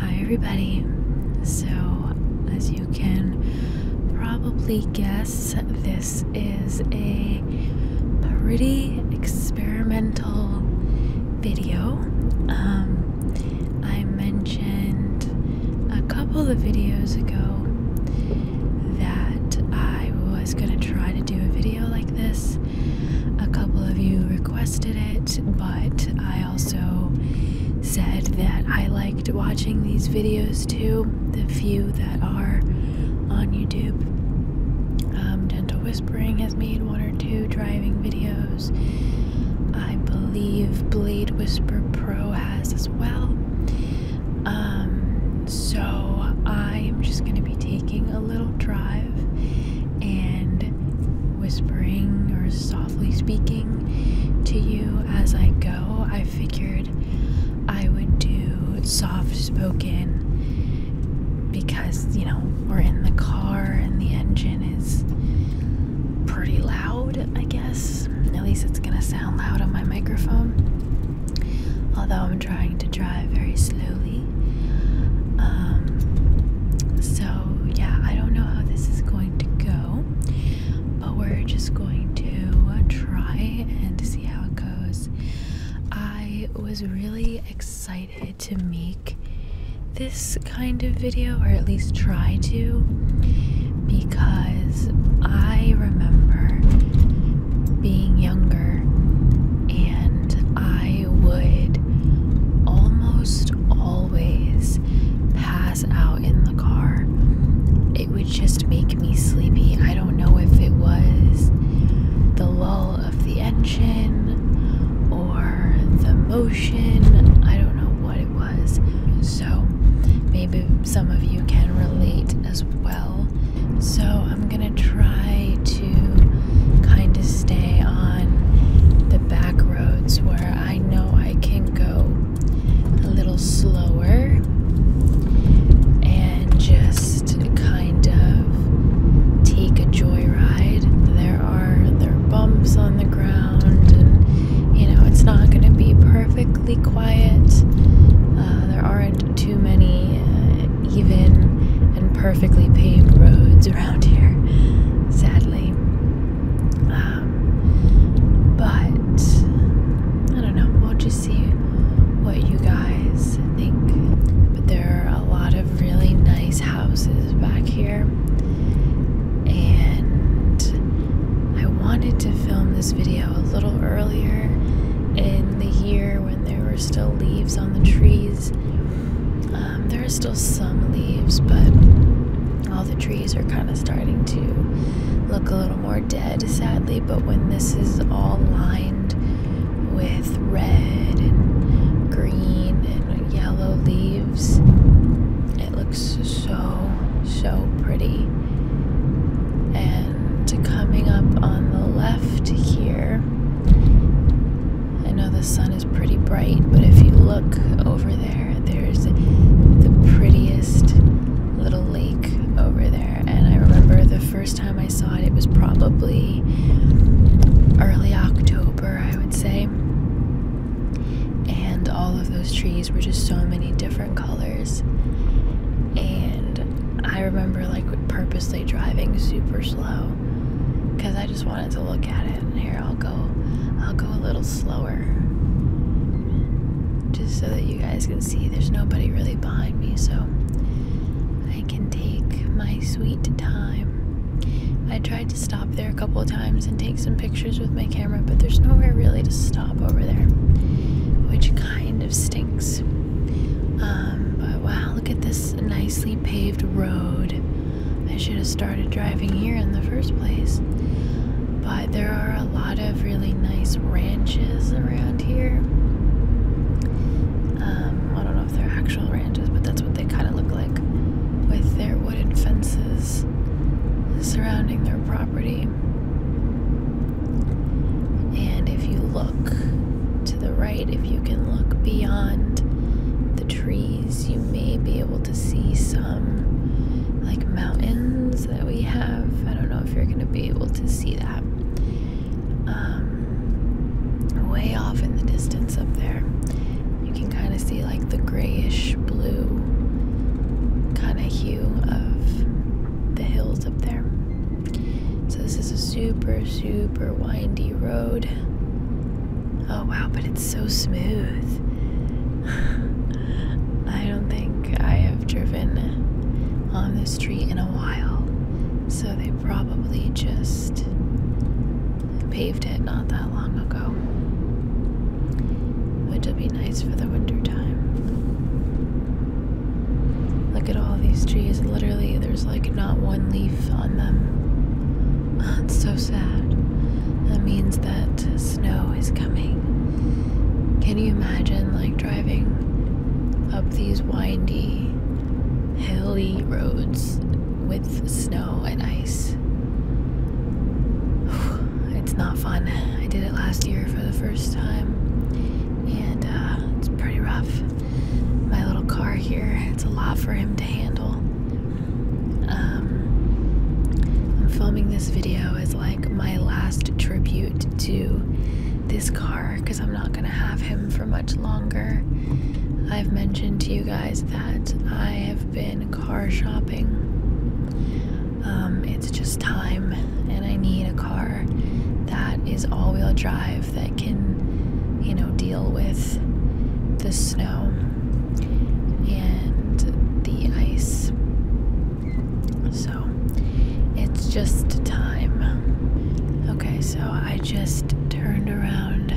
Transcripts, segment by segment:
Hi, everybody. So, as you can probably guess, this is a pretty experimental video. Um, I mentioned a couple of videos ago that I was going to try to do a video like this. A couple of you requested it, but I also said that I liked watching these videos too, the few that are on YouTube. Um, Gentle Whispering has made one or two driving videos. I believe Blade Whisper Pro has as well. Um, so I am just going to be taking a little drive and whispering or softly speaking to you as I go. I figured I would do soft spoken because you know we're in the car and the engine is pretty loud, I guess. At least it's gonna sound loud on my microphone. Although I'm trying to drive very slowly. Um, so, yeah, I don't know how this is going to go, but we're just going to try and see how it goes. I was really excited to meet make this kind of video, or at least try to, because I remember being younger and I would almost always pass out in the car. It would just make me sleepy. I don't know if it was the lull of the engine or the motion. I don't know what was. So maybe some of you can relate as well. So I'm going to try to kind of stay on the back roads where I know I can go a little slower and just kind of take a joyride. There are there are bumps on the ground, and you know, it's not going to be perfectly quiet. Uh, there aren't too many uh, even and perfectly paved roads around here, sadly. Um, but I don't know, we'll just see what you guys think. But there are a lot of really nice houses back here and I wanted to film this video a little earlier in the year when there were still leaves on the trees. Um, there are still some leaves, but all the trees are kind of starting to look a little more dead, sadly. But when this is all lined with red and green and yellow leaves. It looks so, so pretty. And coming up on the left here, I know the sun is pretty bright, but if you look over there, there's the prettiest little lake over there. And I remember the first time I saw it, it was probably early October I would say. And all of those trees were just so many different colors. And I remember like purposely driving super slow because I just wanted to look at it. And here I'll go, I'll go a little slower just so that you guys can see there's nobody really behind me, so I can take my sweet time. I tried tried to stop there a couple of times and take some pictures with my camera, but there's nowhere really to stop over there, which kind of stinks. Um, but wow, look at this nicely paved road. I should have started driving here in the first place. But there are a lot of really nice ranches around here. Um, I don't know if they're actual ranches, but that's what they kind of look like with their wooden fences surrounding their property. And if you look to the right, if you can look beyond the trees, you may be able to see some like mountains that we have. I don't know if you're going to be able to see that. Um, way off in the distance up there. You can kind of see like the grayish blue kind of hue of the hills up there. So, this is a super, super windy road. Oh wow, but it's so smooth. I don't think I have driven on this street in a while, so they probably just paved it not that long ago. Which will be nice for the winter time. Look at all these trees. Literally, there's like not one leaf on them. It's so sad. That means that snow is coming. Can you imagine like driving up these windy, hilly roads with snow and ice. It's not fun. I did it last year for the first time, and uh, it's pretty rough. My little car here, it's a lot for him to handle. Um, I'm filming this video as like my last tribute to this car I'm not going to have him for much longer. I've mentioned to you guys that I have been car shopping. Um, it's just time, and I need a car that is all wheel drive that can, you know, deal with the snow and the ice. So it's just time. Okay, so I just turned around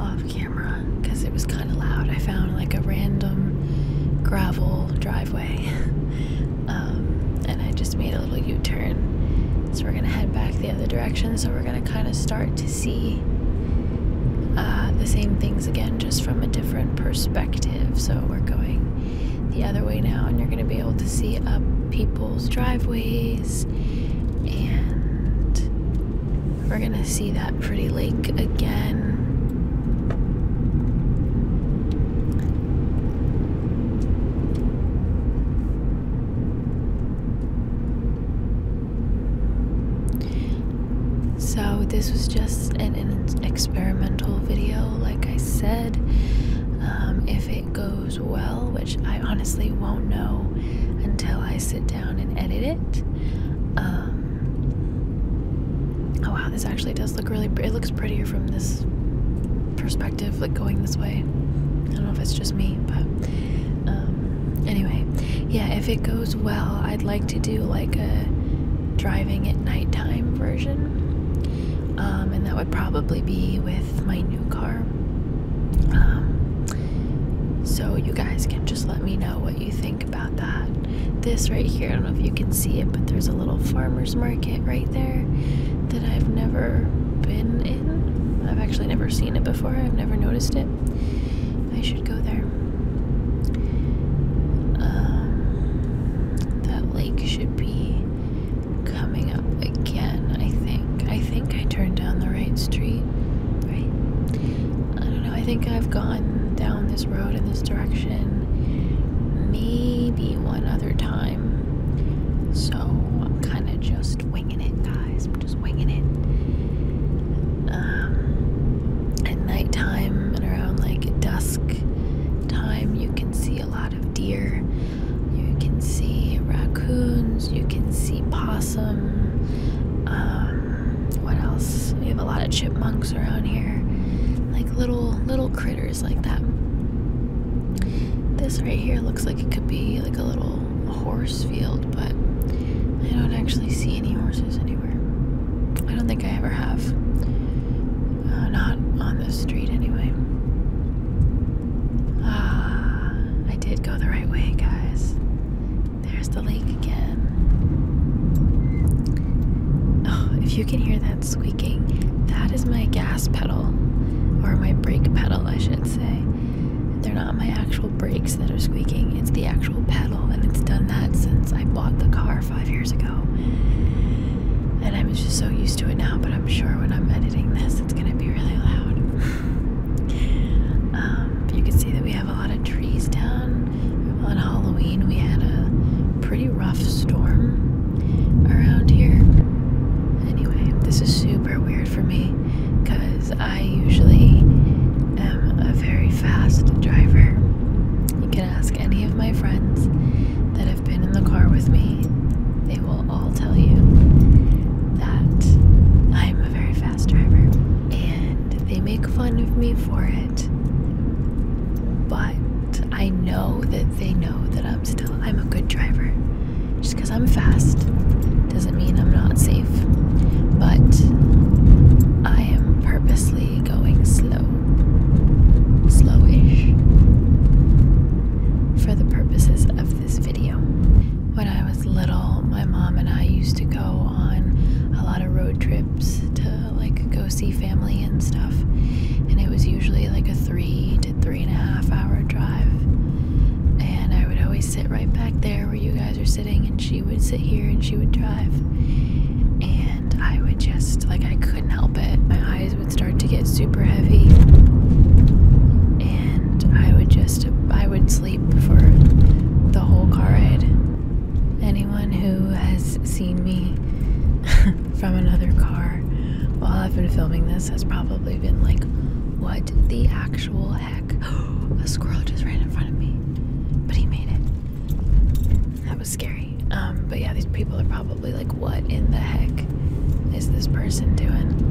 off camera because it was kind of loud. I found like a random gravel driveway um, and I just made a little U turn. So we're going to head back the other direction. So we're going to kind of start to see uh, the same things again just from a different perspective. So we're going the other way now and you're going to be able to see up people's driveways and we're gonna see that pretty lake again. So, this was just an, experimental video, like I said. Um, if goes well, which I honestly won't know until I sit down and edit it. Um, oh wow, this actually does look really. It looks prettier from this perspective, like going this way. I don't know if it's just me, but um, anyway, yeah. If it goes well, I'd like to do like a driving at nighttime version um, and that would probably be with my new car. Um, so you guys can just let me know what you think about that. This right here, I don't know if you can see it, but there's a little farmer's market right there that I've never been in. I've actually never seen it before, I've never noticed it. I should go there. Um, that lake should be coming up again, I think. I think I turned down the right street, right? I don't know. I think I've gone down this road in this direction maybe one other time. So I'm kind of just winging it, guys. just winging it. Um, at time and around like dusk time, you can see a lot of deer. You can see raccoons, you can see possum. Um, what else? We have a lot of chipmunks around here, like little little critters like that. This right here looks like it could be like a little horse field, but I don't actually see any horses anywhere. I don't think I ever have. Uh, not on the street, anyway. Ah, I did go the right way, guys. There's the lake again. Oh, if you can hear that squeaking, that is my gas pedal, or my brake pedal, I should say. They're not my actual brakes that are squeaking, it's the actual pedal, and it's done that since I bought the car five years ago. And I'm just so used to it now, but I'm sure when I'm editing this, it's going to be really loud. um, you can see that we have a lot of trees down. On Halloween, we had a pretty rough storm around here. Anyway, this is super weird for me because I usually am a very fast driver. You can ask any of my friends that been in the car with me, they will all tell you that I am a very fast driver. And they make fun of me for it. But I know that they know that I'm still I'm a good driver. Just because I'm fast doesn't mean I'm not safe. But I am purposely going slow slowish for the purposes of this video. When I was little, my mom and I used to go on a lot of road trips to like go see family and stuff, and it was usually like a three to three and a half hour drive. And I would always sit right back there where you guys are sitting, and she would sit here and she would drive. And I would just like I couldn't help it. My eyes start to get super heavy and I would just I would sleep for the whole car ride. Anyone who has seen me from another car while I've been filming this has probably been like, what the actual heck? A squirrel just ran in front of me. But he made it. That was scary. Um, but yeah, these people are probably like, what in the heck is this person doing?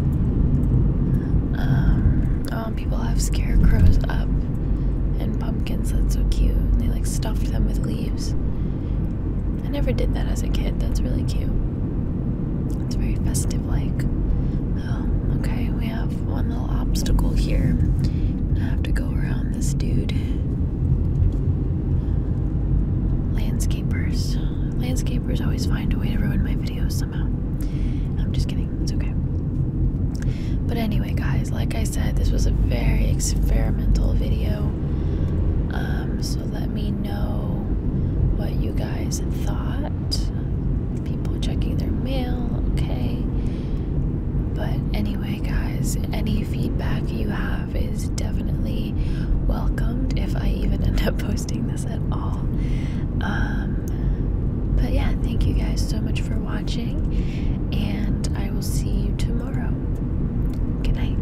Um, oh, people have scarecrows up and pumpkins. That's so cute. they like stuffed them with leaves. I never did that as a kid. That's really cute. It's very festive like. Oh, okay, we have one little obstacle here. I have to go around this dude. Landscapers. Landscapers always find a way to ruin my videos somehow. I'm just kidding, it's okay. But anyway, guys, like I said, this was a very experimental video. Um, so let me know what you guys thought. People checking their mail, okay. But anyway, guys, any feedback you have is definitely welcomed if I even end up posting this at all. Um, but yeah, thank you guys so much for watching, and I will see you tomorrow. Good night.